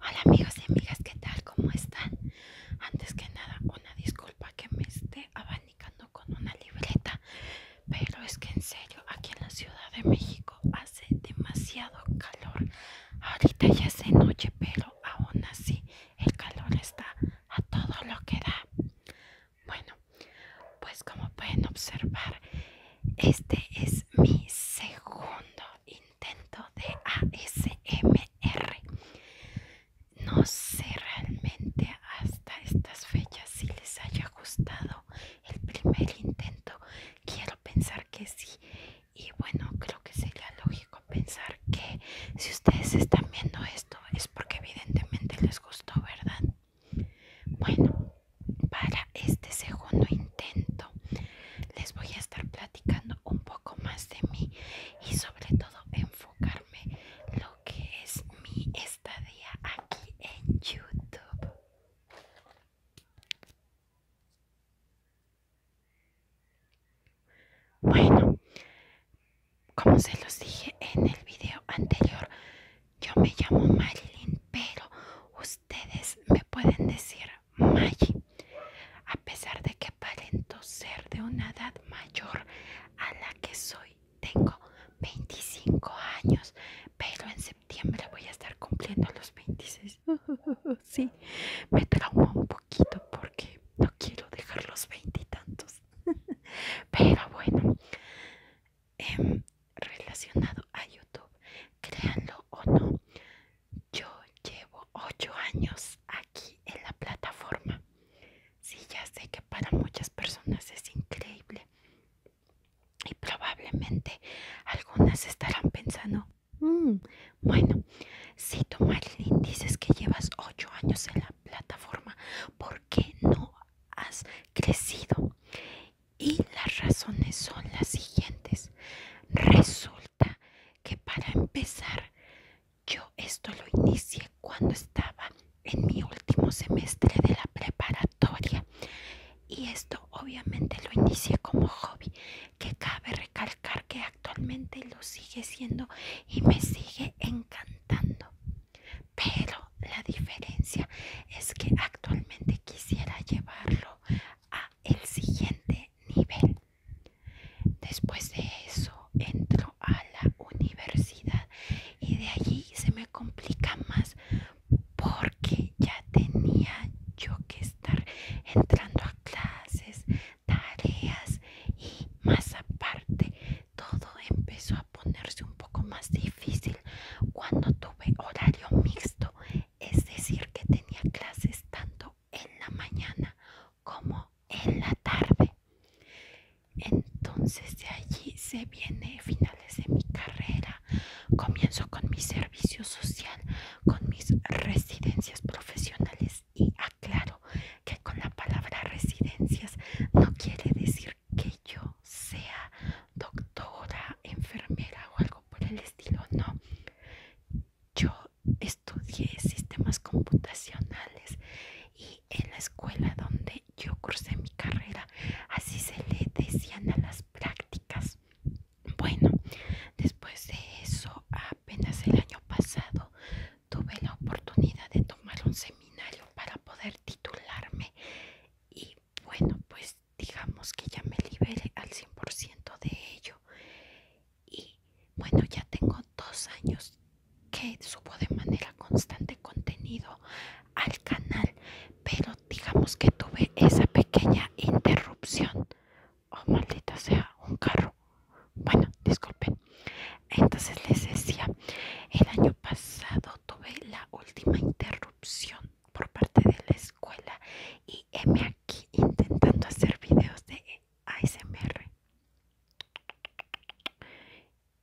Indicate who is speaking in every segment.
Speaker 1: Hola amigos y amigas, ¿qué tal? ¿Cómo están? Antes que nada, una disculpa que me esté abanicando con una libreta pero es que en serio aquí en la Ciudad de México hace demasiado calor ahorita ya es noche pero aún así el calor está a todo lo que da bueno pues como pueden observar este es mi segundo intento de ASMR no sé realmente hasta estas fechas si les haya gustado el primer intento. Quiero pensar que sí. Y bueno, creo que sería lógico pensar que si ustedes están viendo esto es porque evidentemente les gustó, ¿verdad? Bueno, para este segundo intento les voy a estar platicando un poco más de mí y sobre todo enfocarme lo que es mi estadía aquí en YouTube. Bueno, como se los dije en el video anterior, yo me llamo Marilyn, pero ustedes me pueden decir Maggie. A pesar de que parento ser de una edad mayor a la que soy tengo 25 años, pero en septiembre voy a estar cumpliendo los 26. sí, me trauma un poquito porque no quiero dejar los 20 tantos. pero bueno, em, relacionado a YouTube, créanlo o no, yo llevo 8 años aquí en la plataforma. Sí, ya sé que para muchas personas es increíble. Y probablemente algunas estarán pensando, mm, bueno, si tú Marilyn dices que llevas ocho años en la plataforma, ¿por qué no has crecido? Y las razones son las siguientes. Resulta que para empezar yo esto lo inicié cuando estaba en mi último semestre de la preparatoria y esto obviamente lo inicié como hobby que cabe recalcar que actualmente lo sigue siendo y me sigue encantando pero la diferencia es que actualmente quisiera llevarlo a el siguiente nivel Después de eso entro a la universidad y de allí se me complica más porque ya tenía yo que estar entrando a clases, tareas y más aparte todo empezó a ponerse un poco más difícil cuando tuve horario mixto, es decir que tenía clases tanto en la mañana como en la tarde. Entonces de allí se viene finales de mi carrera. Comienzo con mi servicio social, con mis residencias profesionales y aclaro que con la palabra residencias no quiere decir que yo sea doctora, enfermera o algo por el estilo, no yo estudié sistemas computacionales y en la escuela donde yo cursé mi carrera, así se le decían a las prácticas. Bueno, después de eso, apenas el año pasado tuve la oportunidad de tomar un seminario para poder titularme y bueno, pues digamos que ya me liberé al 100% de ello y bueno ya tengo dos años que subo de manera constante contenido al canal pero digamos que tuve esa pequeña interrupción oh maldita sea un carro bueno disculpen entonces les decía el año pasado tuve la última interrupción por parte de la escuela y me aquí intentando hacer videos de ASMR.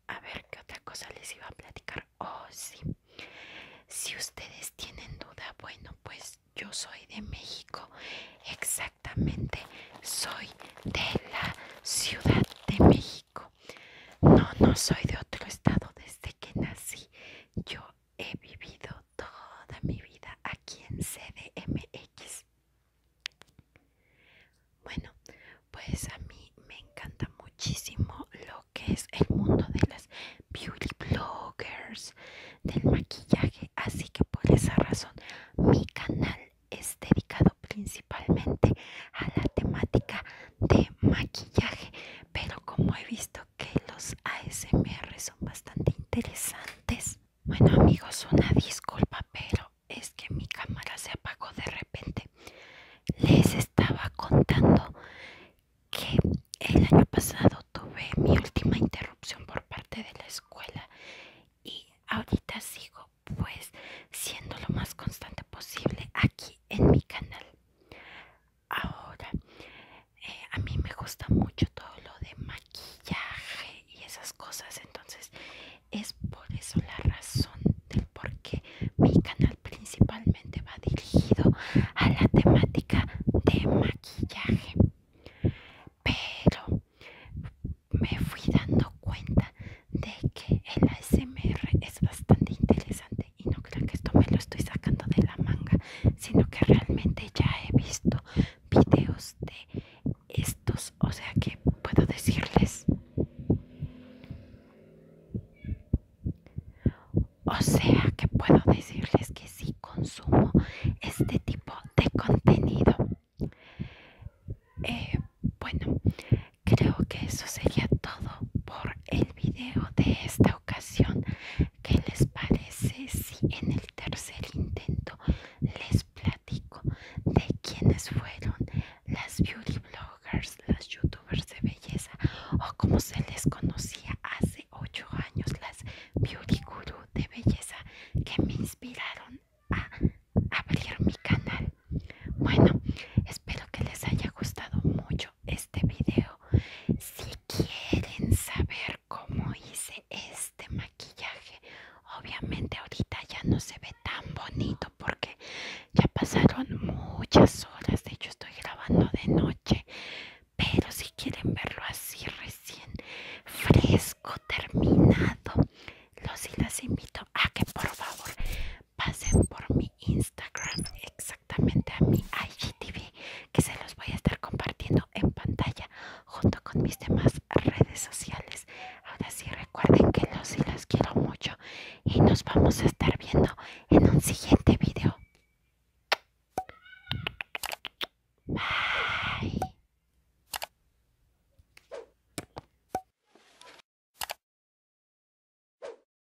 Speaker 1: A ver qué otra cosa les iba a platicar. Oh, sí. Si ustedes tienen duda, bueno, pues yo soy de México. Exactamente, soy de la Ciudad de México. No, no soy de otro estado desde que nací. Yo he vivido toda mi vida aquí en CDMX. Bueno, pues a mí me encanta muchísimo lo que es el mundo de las beauty bloggers, del maquillaje, así que por esa razón mi canal es dedicado principalmente a la temática de maquillaje, pero como he visto que los ASMR son bastante interesantes. Bueno amigos, una disculpa, pero es que mi cámara se apagó de repente. Les estaba contando que el año pasado tuve mi última interrupción por parte de la escuela y ahorita sigo pues siendo lo más constante posible aquí en mi canal. Ahora, eh, a mí me gusta mucho todo lo de maquillaje y esas cosas entonces es por eso la razón del por qué mi canal principalmente va dirigido a la temática de maquillaje pero me fui dando cuenta de que el ASMR es bastante interesante y no que esto me lo estoy sacando de la manga, sino que realmente ya he visto videos de estos, o sea que puedo decirles. O sea que puedo decirles que si consumo este tipo de contenido. Eh, bueno, creo que eso sería todo por el video de esta ocasión. ¿Qué les parece si en el tercer intento les platico de quiénes fueron las beauty bloggers, las youtubers de belleza o como se les conocía hace 8 años, las beauty guru de belleza que me inspiraron a abrir mi canal? Bueno, espero que les haya gustado mucho este video si quieren saber cómo hice este maquillaje, obviamente ahorita ya no se ve tan bonito porque ya pasaron muchas horas. De hecho, estoy grabando de noche. Pero si quieren verlo así recién fresco, terminado, los invito a que por favor pasen por mí. Instagram, exactamente a mi IGTV, que se los voy a estar compartiendo en pantalla junto con mis demás redes sociales. Ahora sí, recuerden que los y las quiero mucho y nos vamos a estar viendo en un siguiente video. Bye.